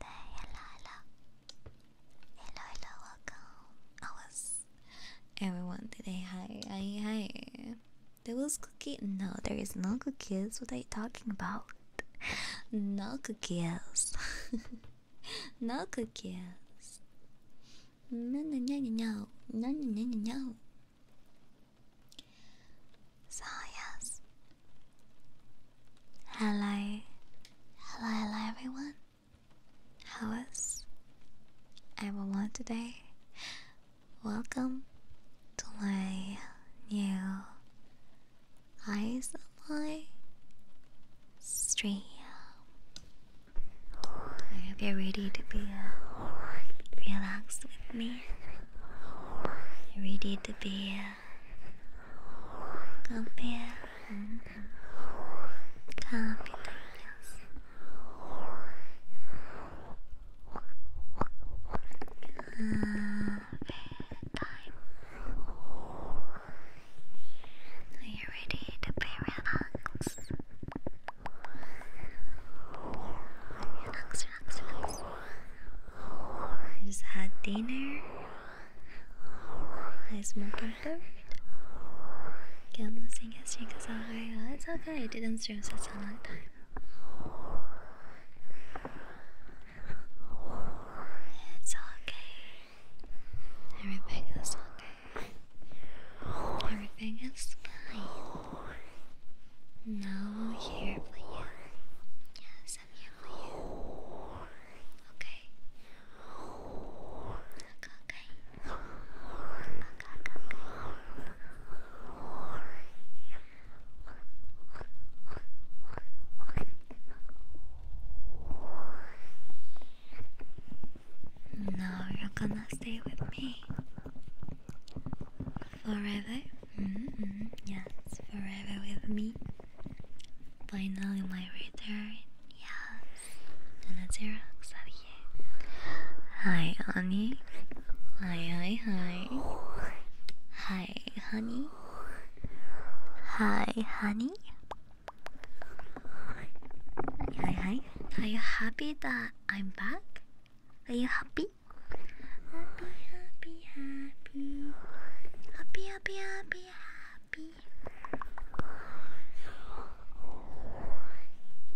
hello, hello. Hello, hello, welcome. I was everyone today. Hi, hi, hi. There was cookie. No, there is no cookies. What are you talking about? No cookies. no cookies. No, no, no, no, no, no, no, no, no. So yes, Hello, hello, hello everyone. How was everyone today? Welcome to my new eyes of my stream. I hope you're ready to be uh, relaxed with me. you ready to be. Uh, Campeão. Capitães. Time. Are you ready to Relax, relax, relax. I just had dinner. Heisenberg third. Again, the thing is, because I, it's okay, I didn't stream such a long time. It's okay. Everything is okay. Everything is fine. Now here for you. Yes, I'm here Okay. Okay. Okay. Now you're gonna stay with me forever. Mm -hmm. Yes, forever with me. Finally, my return. Yes, and a Hi, honey. Hi, hi, hi. Hi, honey. Hi, honey. Hi, hi. Are you happy that I'm back? Are you happy? Happy, happy, happy. Happy, happy, happy happy.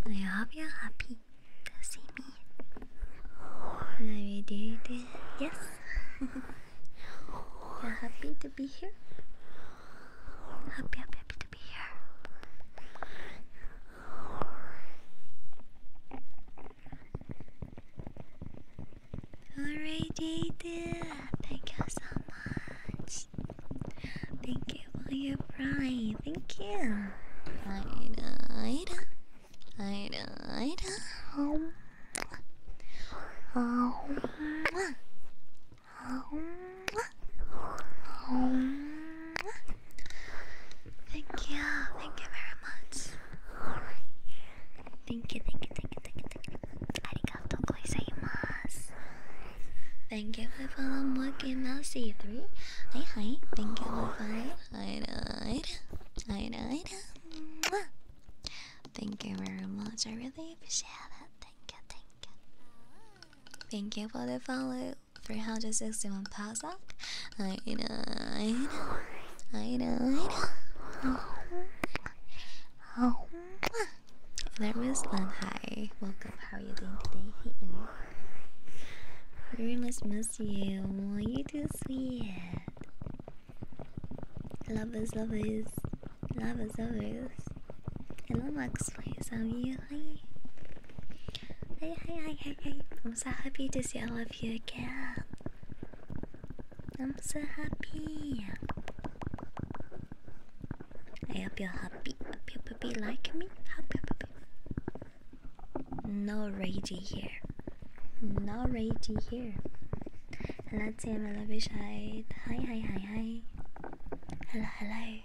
I hope you're happy to see me. Very dear, dear. Yes. you're happy to be here? happy, happy to be here. Alright, Jade, thank you so much. Thank you for your pride. Thank you. Ida, Ida, Ida, Ida. Oh. Oh. Oh. Oh. Thank you, thank you very much. Thank you, thank you, thank you, thank you, thank you. Thank you for following Monkey Mouse 3 Hi, hi. Thank you for following. Hi, hi. Hi, hi. Thank you very much. I really appreciate it. Thank you, thank you. Thank you for the follow. 361 pounds up. I know, I know, I know, I know. Oh, there is Lan. Hi, welcome. How are you doing today? I really miss you. Oh, you too sweet. Lovers, lovers, lovers, lovers. Hello, Max. Please, how are you? Hi. Hey, hey, hey, hey, hey. I'm so happy to see all of you again. I'm so happy. I hope you're happy. Hope you puppy like me. Happy puppy. No ragey here. No ragey here. Hello team, I love you Hi hi hi hi. Hello hello.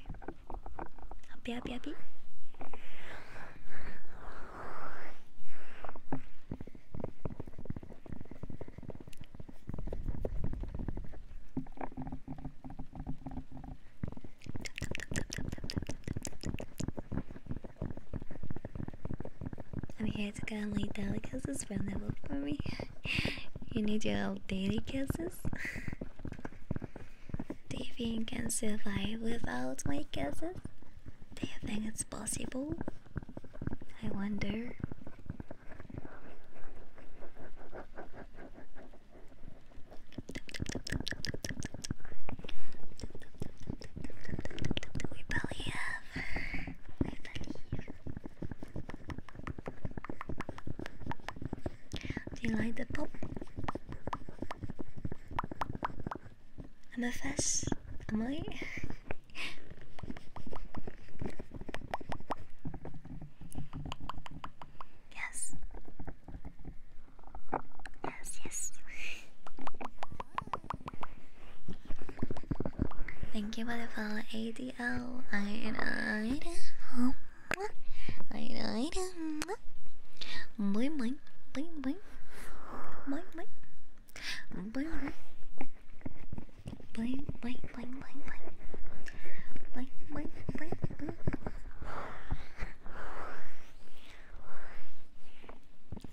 Happy happy happy. I'm here to get only delicacies from the book for me. you need your delicacies? Do you think you can survive without my kisses? Do you think it's possible? I wonder. We We probably have. Do you like the pop? am a fuss. Am I? yes. Yes, yes. Thank you for the follow, ADL. I died. Oh, I died. boing, boing. Boing, boing. Bling, bling, bling, bling, bling, bling, bling, bling, bling.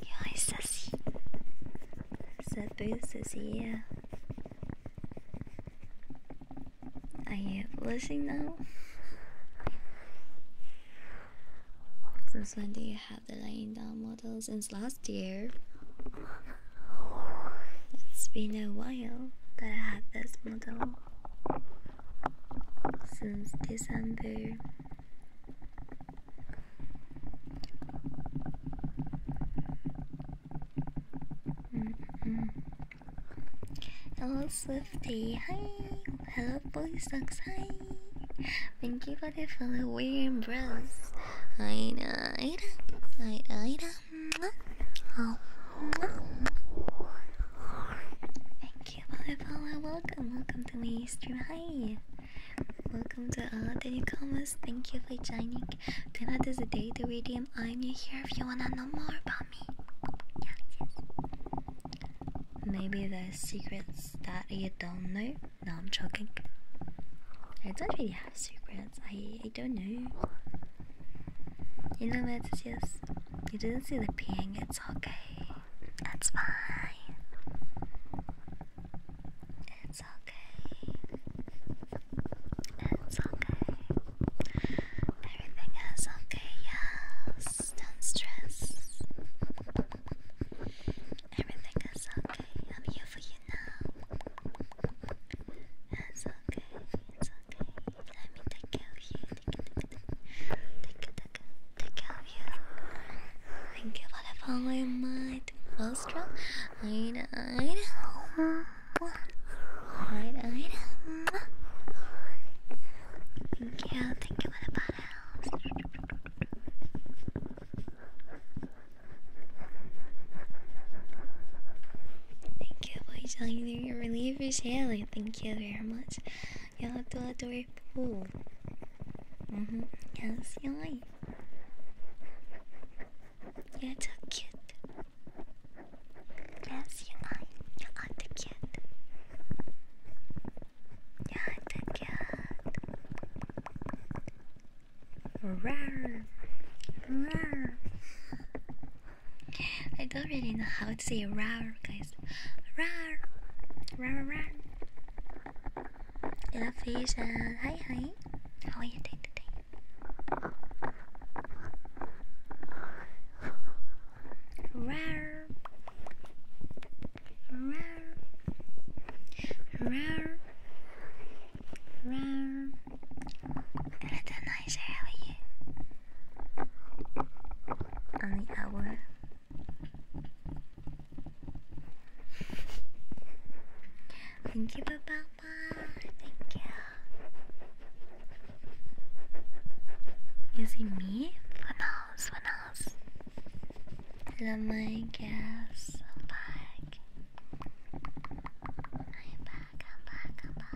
Yeah, sassy. That booth says yeah. Are you blushing now? Since when do you have the laying down model since last year. It's been a while that I had this model since December. Hello Swiftie. hi! Hello Boy Socks, hi! Thank you for the follow weird bros. Ida, Ida, Ida, Ida. Oh. Thank you for the follow. Welcome, welcome to my stream. Hi. Welcome to all the newcomers. Thank you for joining. Tonight is the day to redeem. I'm here if you wanna know more about me. Yes, yes. Maybe there's secrets that you don't know. No, I'm joking. I don't really have secrets. I I don't know. You know what it is? You didn't see the ping, it's okay. That's fine. It's okay. It's okay. Everything is okay, yes. Don't stress. Everything is okay. I'm here for you now. It's okay. It's okay. Let me take care of you. Take care, take care, take care of you. Thank you for the following my posture. I know, I know. Alright, alright. Thank you, thank you for the bottles. Thank you for joining your relief is healing. Thank you very much. You have to adore pool. Mm-hmm. Yes, you like. You're so cute. Yes, you are. You are the You are the Rawr. Rawr. I don't really know how to say rawr, guys. Rawr. Rawr, rawr. Hello, fish. hi, hi. How are you doing today? Rawr. Rar. Rar. Rar. At nice area. On the hour. Thank you, Papa. Thank you. Is it me? For now, for now love my gas. I'm back. I'm back. I'm back. I'm back.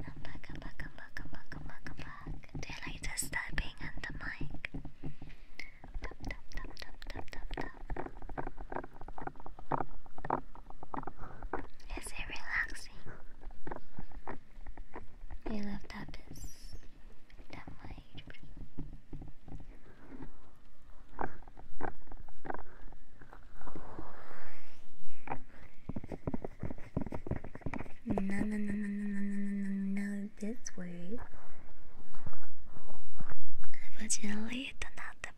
I'm back. I'm back. I'm back. I'm back. I'm back. I'm back. Do you like just tapping on the mic? Tap tap tap tap tap tap tap. Is it relaxing? You love that this that much age. No, no, no, no, no, no, no, no, this way. Evidently, that's not the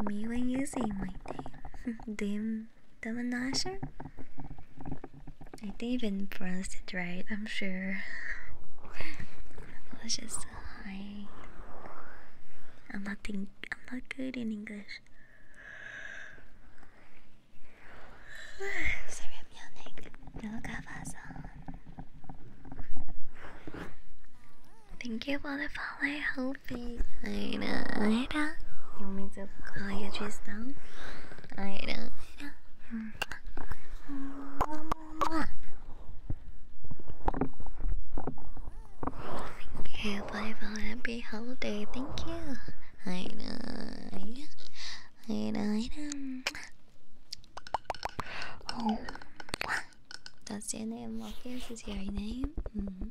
point. Me when you say my name, then The Devon Nasher? I did even pronounce it right, I'm sure. Let's just hi. I'm not think I'm not good in English. Thank you for the follow, Hopi. I know, I Alright, you want me to call your trees down? Alright, Thank you, bye bye, happy holiday, thank you. I know, I know, I know. Oh, that's your name, what is your name? Mm -hmm.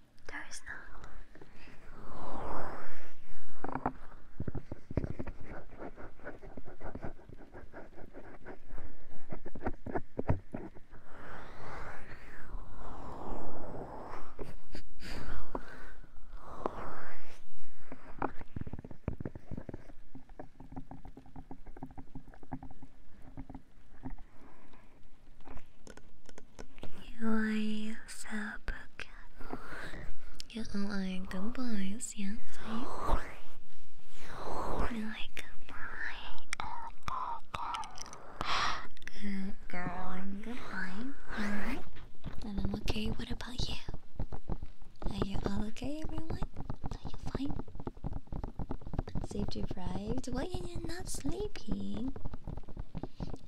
There is no. You are so broken. You are good boys, yes. You are good boy. Good girl and good boy. Alright. And I'm okay. What about you? Are you all okay, everyone? Are you fine? Sleep deprived? Why are you not sleeping?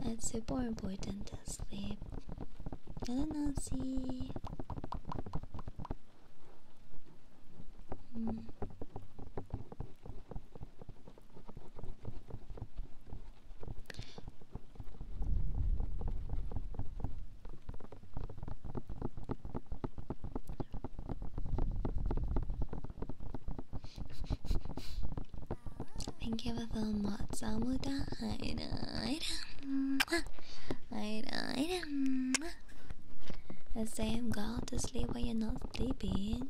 It's super important to sleep. I don't see. Hmm. Thank you for the mods. I will die. I died. The same go to sleep when you're not sleeping.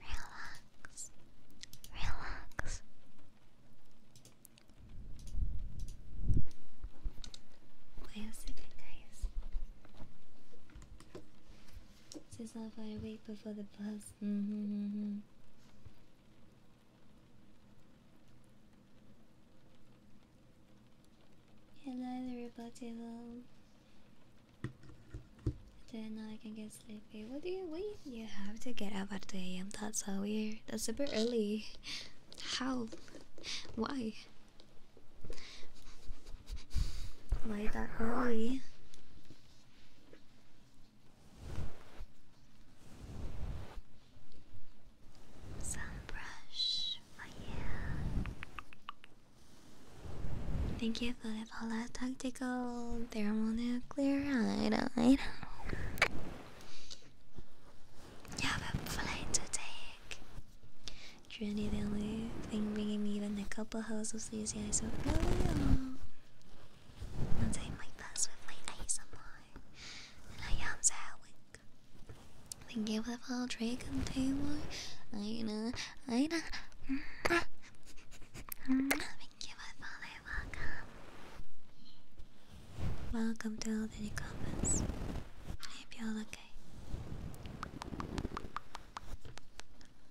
Relax, relax. Why else did guys? This is how I wait before the bus. Mm -hmm, mm -hmm. Hello everybody love. Then I can get sleepy. What do you wait? You have to get up at 2 a.m. That's so weird. That's super early. How? Why? Why that early? Some brush my Thank you for the Paula Tactical Thermonuclear Iodine. You have a flight to take. Truly the only thing bringing me even a couple hours of sleep is really I'll take my best with my ASMR. And I am sad Thank you for the follow, Dragon Taylor. I know, I know. Thank you for the follow, welcome. Welcome to all the comments. I hope you're okay.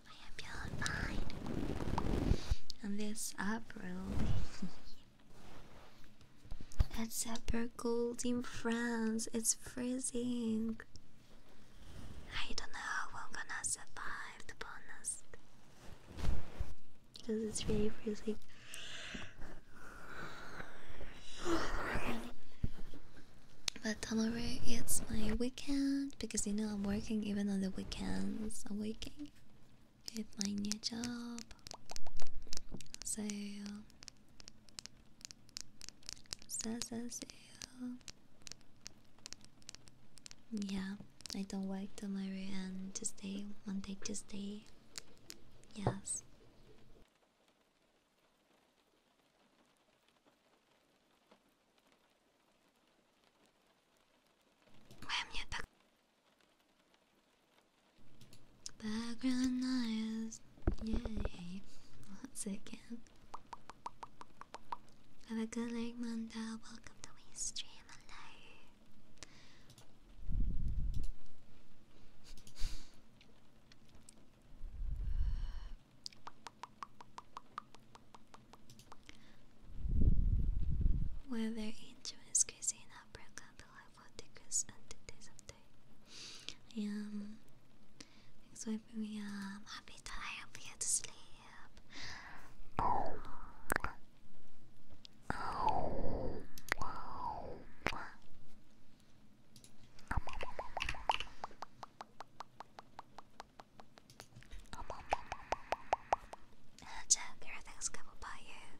I hope you're fine. And this up roll. It's super cold in France. It's freezing. I don't know how I'm gonna survive the bonus because it's really freezing. But tomorrow it's my weekend because you know I'm working even on the weekends. I'm working with my new job. So, so, so, so. Yeah, I don't work tomorrow and Tuesday, Monday, Tuesday. Yes. Background noise, yay! Once again, have a good night, Manda. Welcome to we stream alive. Whether angel is crazy below for tickets until this day. Um, so we are happy to help you to sleep. Jack, everything's good about you.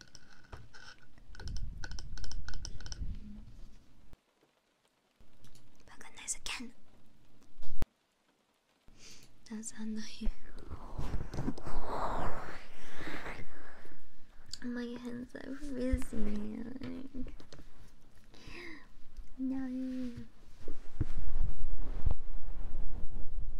Recognize again. That's a knife. My hands are freezing. No.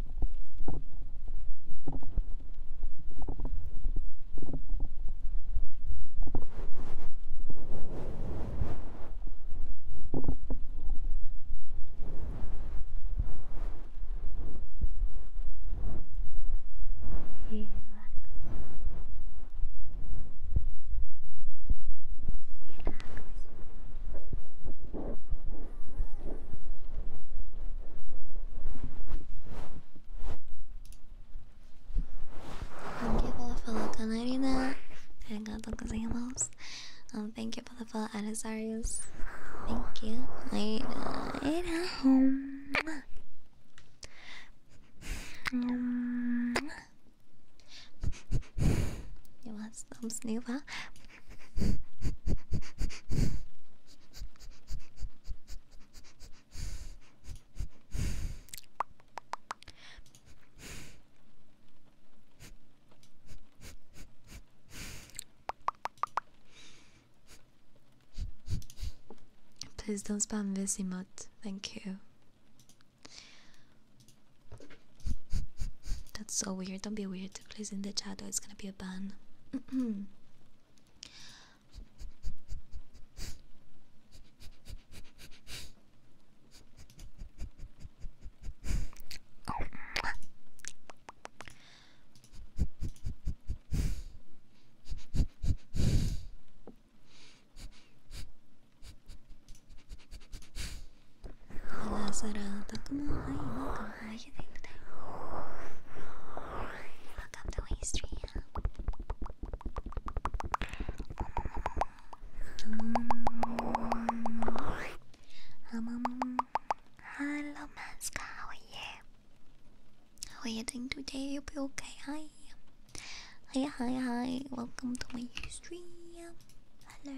誘惑リラックス Thank you for the follow, Canarina. Arigato the Um, thank you for the follow, Adasarius. Thank you. I at home. You want some snooper? Please don't spam this emote. Thank you. That's so weird. Don't be weird. Closing the chat or it's gonna be a ban. Oh how Welcome to history. Um, hello, Maska. How are you? How are you doing today? You'll be okay. Hi. Hi, hi, hi. Welcome to my stream. Hello.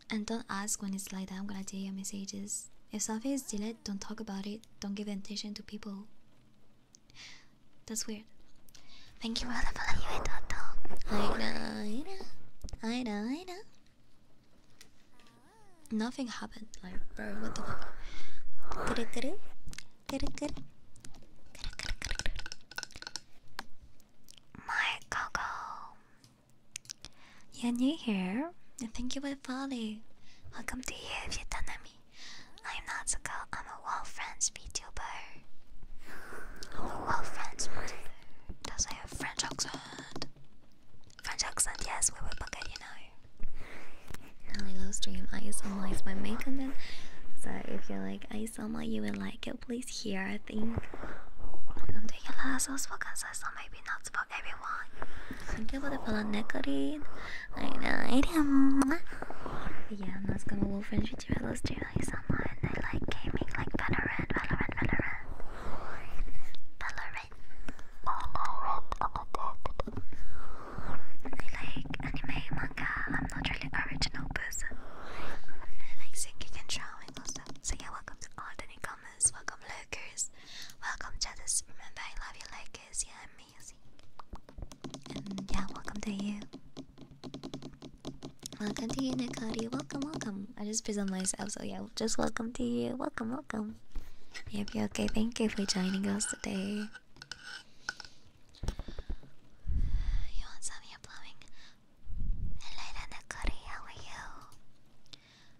And don't ask when it's like that. I'm gonna delete your messages. If something is deleted, don't talk about it. Don't give attention to people. That's weird. Thank you for the follow, Toto. I know, I know, I know, I know. Nothing happened. Like, bro, what the fuck? My Coco. You're new here, and thank you for the Welcome to you if you're done me. I'm not so girl, I'm a Wall Friends VTuber. I'm a Well Friends VTuber. Does I have French accent? French accent, yes, we were book you know. My little stream ISMR is my main content. So if you like ISMR, you will like it. Please hear, I think maybe not for everyone. Thank you for the follow, Nicolene. I know uh, Yeah, I'm not gonna wolf and shit you. I lost you like gaming, like Valorant, Valorant, Valorant. Valorant. I like anime, manga. I'm not really original person. I like singing and drawing also. So yeah, welcome to all the newcomers. Welcome hookers. Welcome, Jadis. Remember, I love you like this. are amazing. And yeah, welcome to you. Welcome to you, Nakari. Welcome, welcome. I just present myself, so yeah, just welcome to you. Welcome, welcome. Yep, you're okay. Thank you for joining us today. You want some ear blowing? Hello, Nakari. How are you?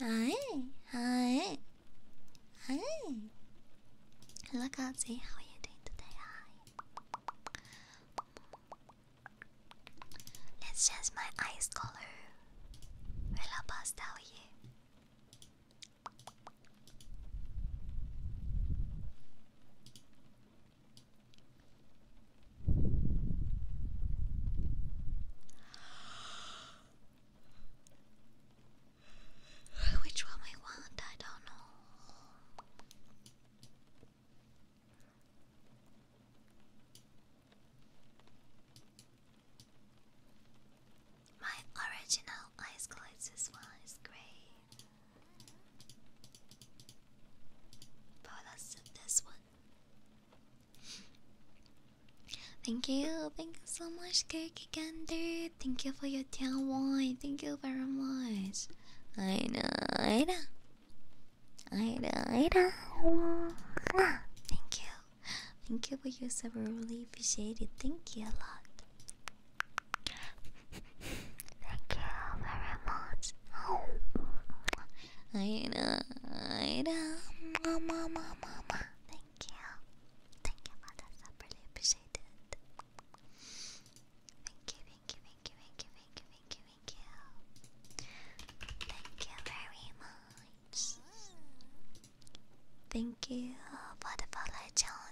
Hi, hi, hi. Hello, Kazi. How are you doing today? Hi. Let's change my eyes color. Will I pass tell you? Which one I want, I don't know. My original ice glass is one is great brought us to this one. Thank you, thank you so much, Kirky Gander. Thank you for your town wine. Thank you very much. I know, I know. I Thank you. Thank you for your sub. really appreciate it. Thank you a lot. Thank you very much. Oh. Ida, Ida, mama, mama, mama. Thank you. Thank you, Mother. I really appreciate it. Thank you, thank you, thank you, thank you, thank you, thank you, thank you. very much. Thank you for the follow,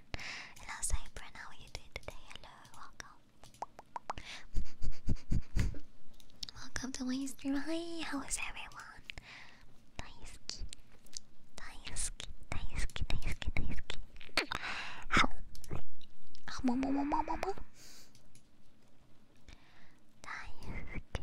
And I'll you doing today? Hello, welcome. welcome to my stream. Hi, how is everyone? Daisuke. Daisuke. Daisuke. Daisuke. Daisuke. How? Mama, mama, mama, mama. Daisuke.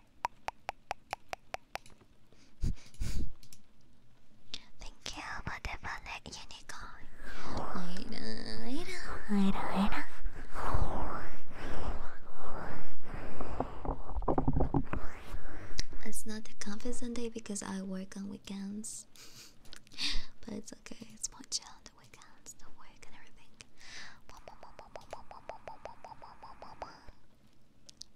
Thank you for the ballet unicorn. Wait, wait, wait, wait. It's not a conference Sunday because I work on weekends. but it's okay, it's my chill on the weekends, the work and everything.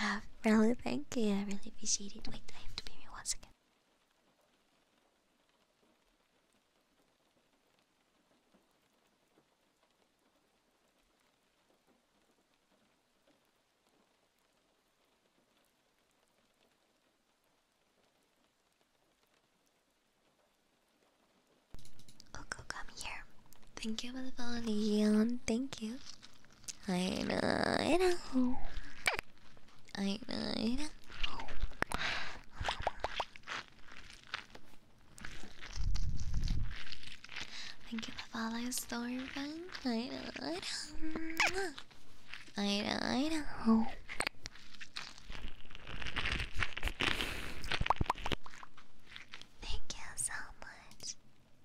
Uh, really, thank you. I really appreciate it. Wait, I have to pay me one second. Oh, go come here. Thank you for the follow, Leon. Thank you. I know, I know. I know, I know. Thank you for following Stormfront. I know, I know. I know, I know. Thank you so much.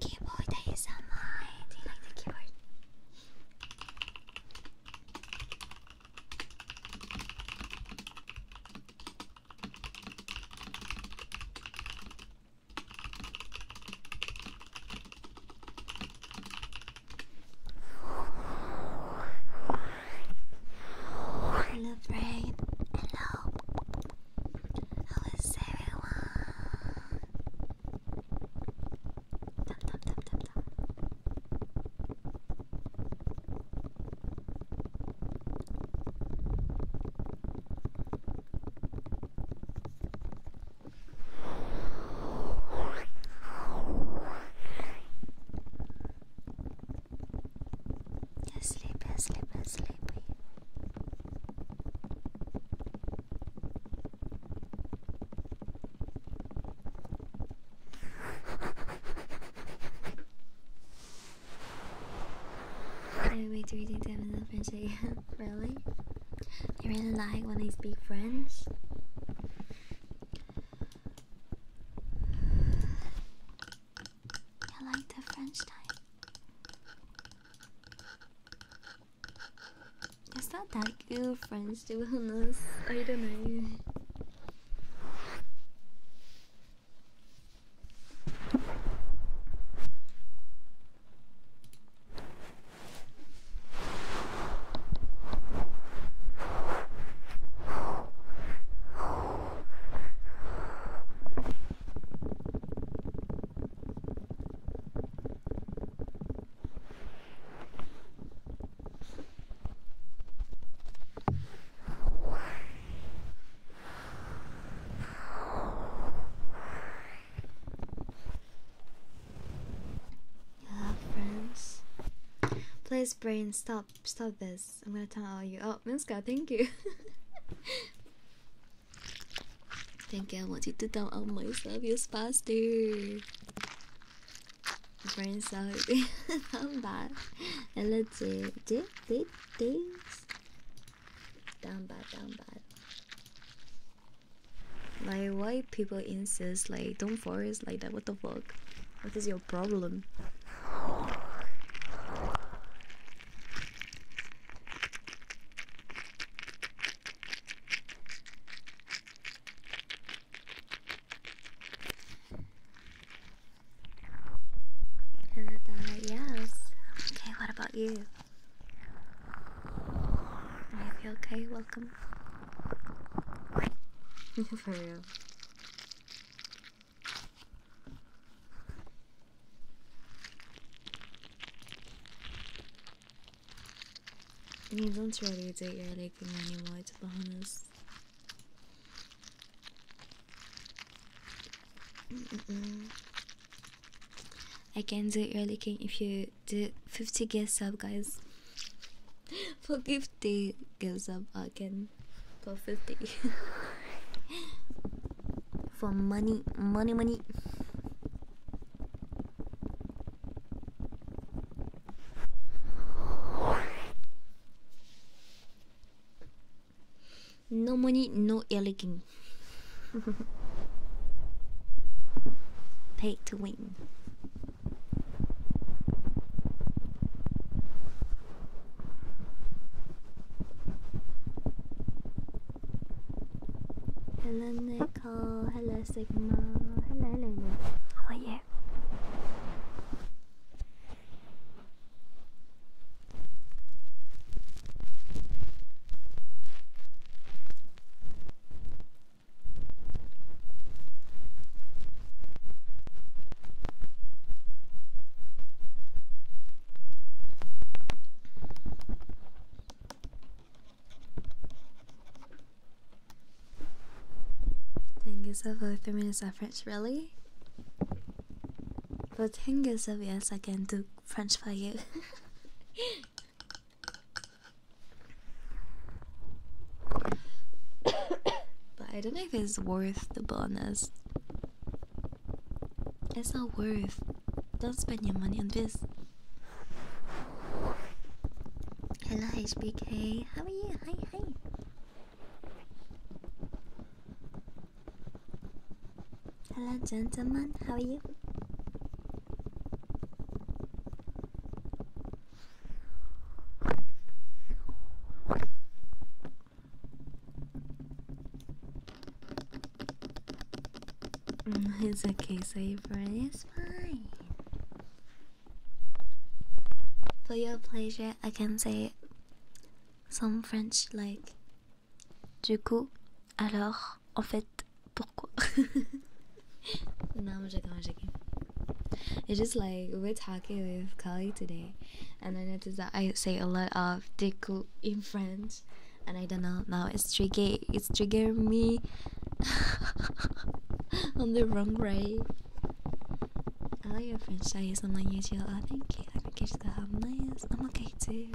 Keyboard ASMR. Do you like the keyboard? Hello, Braid. Hello. How is everyone? Dum, dum, dum, dum, dum. You're sleepy, sleepy, sleepy. I wait reading them in the French again. really? I really like when I speak French. I like the French time. Is that that good French to be honest. I don't know. Yeah, friends. Please, brain, stop, stop this. I'm gonna tell you. Oh, Minska, thank you. Thank you, I want you to all my stuff service faster. Brain sorry. I'm bad. And let it. see. Did did things? bad, down bad. Like why people insist like don't force like that? What the fuck? What is your problem? yes. Okay, what about you? Are you okay? Welcome. For real. Они don't söyleyecek yerlik yani the bahanız. I can do early if you do 50 guess up guys. For 50 gives up I can go 50. for money, money, money. No money, no elegant. Pay to win. Hello Nicole, hello Sigma, hello hello. How are you? Tengiz for 3 minutes of French, really? For Tengiz of yes, I can do French for you. but I don't know if it's worth the bonus. It's not worth don't spend your money on this. Hello HBK, how are you? Hi, hi. Hello gentlemen, how are you? Mm, it's okay, so Saber. It's fine. For your pleasure, I can say some French like. Du coup, alors, en fait, pourquoi? It's just like we're talking with Kali today, and I noticed that I say a lot of "du coup" in French and I don't know now it's trigger it's trigger me on the wrong way. I like your franchise on my YouTube. Oh thank you. I think it's the how nice. I'm okay too.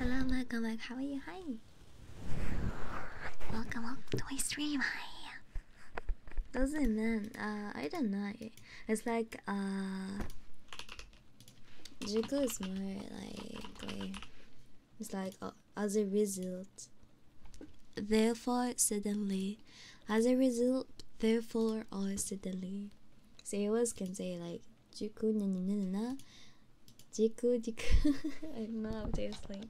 Hello, welcome back. How are you? Hi. Welcome up to my stream. Hi. Doesn't mean uh, I don't know. It's like uh Juku is more like, it's like uh, as a result. Therefore suddenly as a result therefore or suddenly. So you always can say like Juku na na na na Jiku Jiku I love this like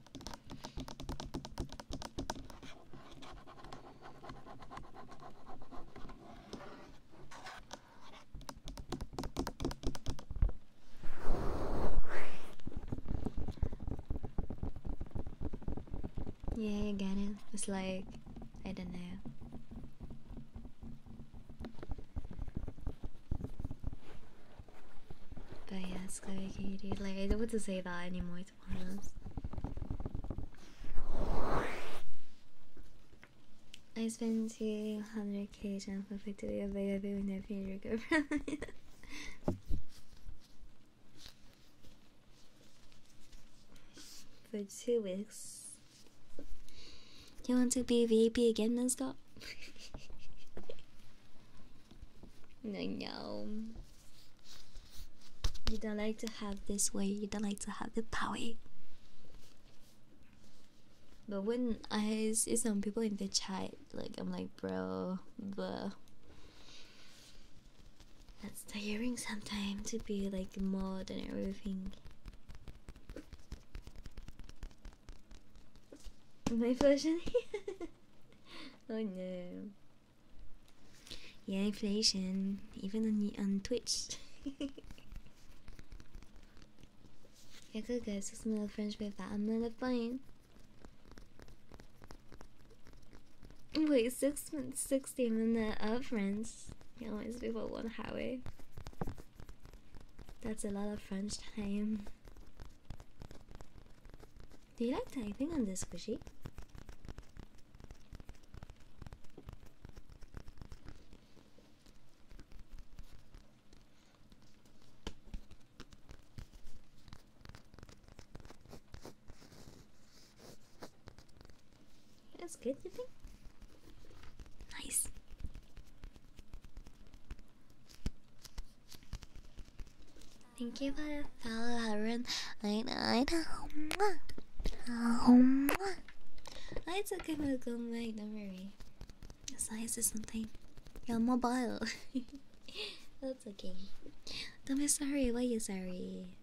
yeah, I get it. It's like, I don't know. But yeah, Sky Katie. Like, I don't want to say that anymore I spent 200k jump perfectly available in every year ago from For two weeks. you want to be VP again, non-stop? no, you don't like to have this way, you don't like to have the power. But when I see some people in the chat, like I'm like, bro, but that's tiring sometimes to be like mod and everything. My version? oh no. Yeah, inflation, even on on Twitch. yeah, good guys, just another French people, I'm that. Another fine. Wait, six months, sixty minute of French. You yeah, always be for one highway. That's a lot of French time. Do you like typing on this squishy? That's good, you think? Nice. Thank you for the I know, I know. Um, I took him a good night, don't worry. Size is something. You're mobile. That's okay. Don't be sorry, why you sorry?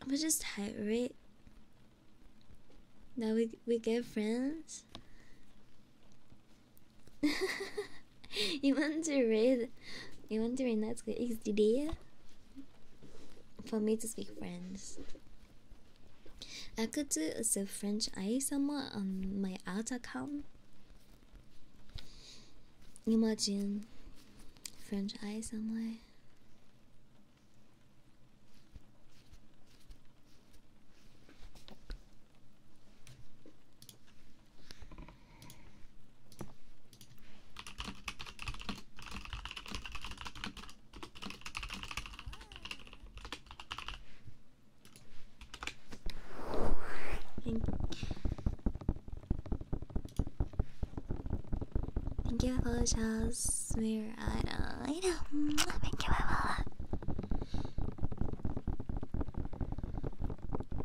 I'm just tired, right? Now we we get friends. you want to read? You want to read the XDD? For me to speak French. I could do a French I somewhere on my art account. Imagine French I somewhere. Thank, Thank you for just we're at Thank you, Ebola.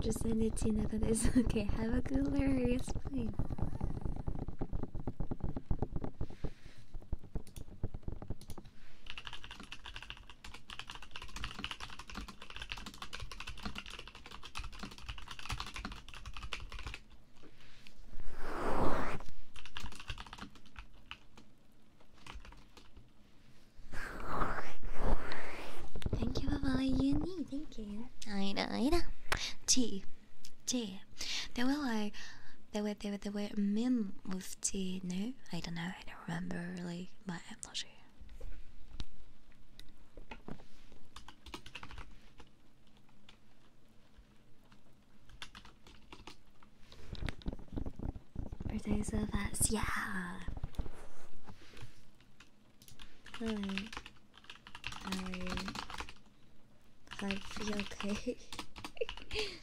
Just send it to you that is okay. Have a good hilarious plane. Thank you for buying uni. Thank you. I know, I know. T, T. There were like, there were by it away. Min Mufti, no? I don't know, I don't remember really, but I'm not sure. For those of us, yeah. Hi. Hi. I feel okay.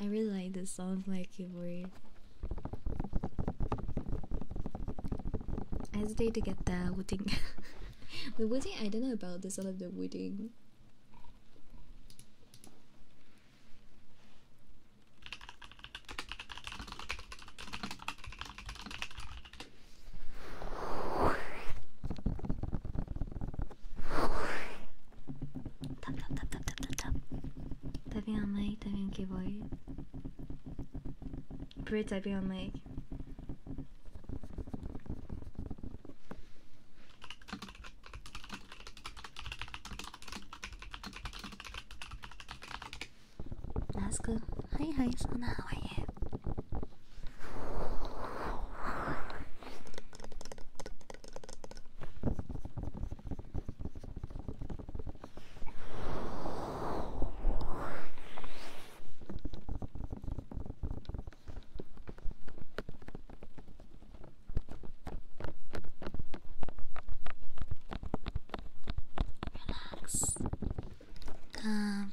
I really like the sound like keyboard. I hesitate to get the wooding. the wooding, I don't know about the song of the wedding. Tap tap tap tap tap tap tap. Tá bem a mãe, tá bem que boy. Brit, That's good. Hi, hi, Sana, how are you? Relax. Comfy. Um,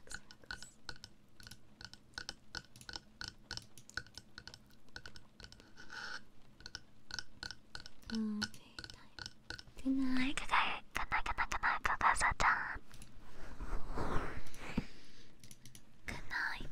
Mm, good night. Good night. Good night. Good Good night.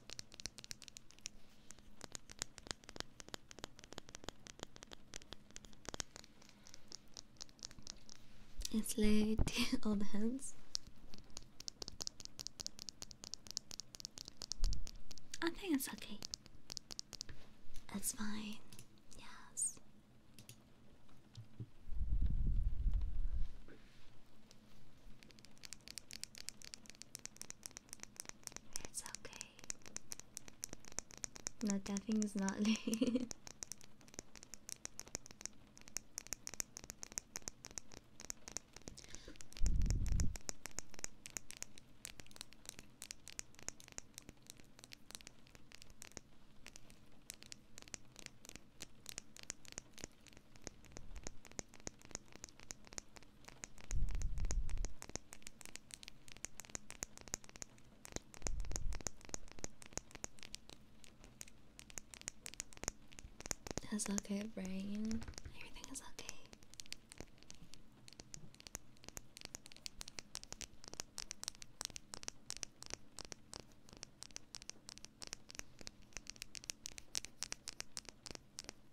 It's late, all the hands. I think it's okay. It's fine. Yes. It's okay. No, thing is not late. That's okay, brain. Everything is okay.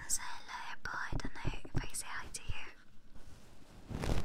I say hello, but I don't know if I say hi to you.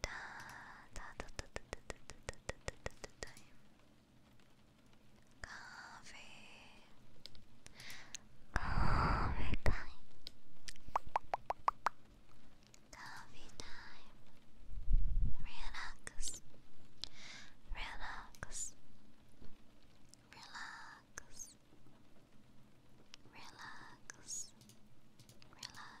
Da, da, da, da, da, da, da, da, da, time. Coffee. Coffee time. Coffee time. Relax. Relax. Relax. Relax. Relax.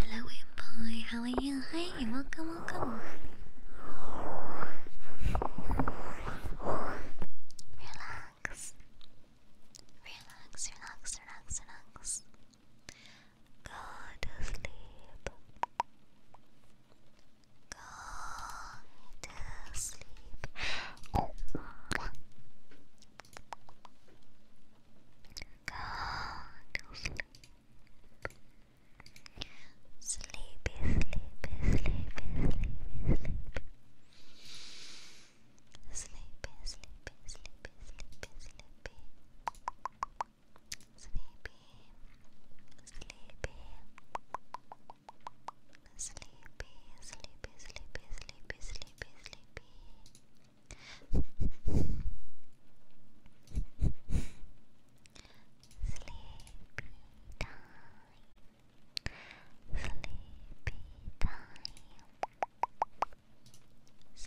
Hello, boy. How are you? Hey, welcome, welcome. Relax. Relax, relax, relax, relax. Go to sleep. Go to sleep. Oh. Go to sleep. Sleepy, sleepy, sleepy, sleepy, sleepy. Sleepy, sleepy, sleepy, sleepy, sleepy sleepy, sleepy, sleepy, sleepy, sleepy, sleepy, sleepy, sleepy. Sleepy time. Sleepy time.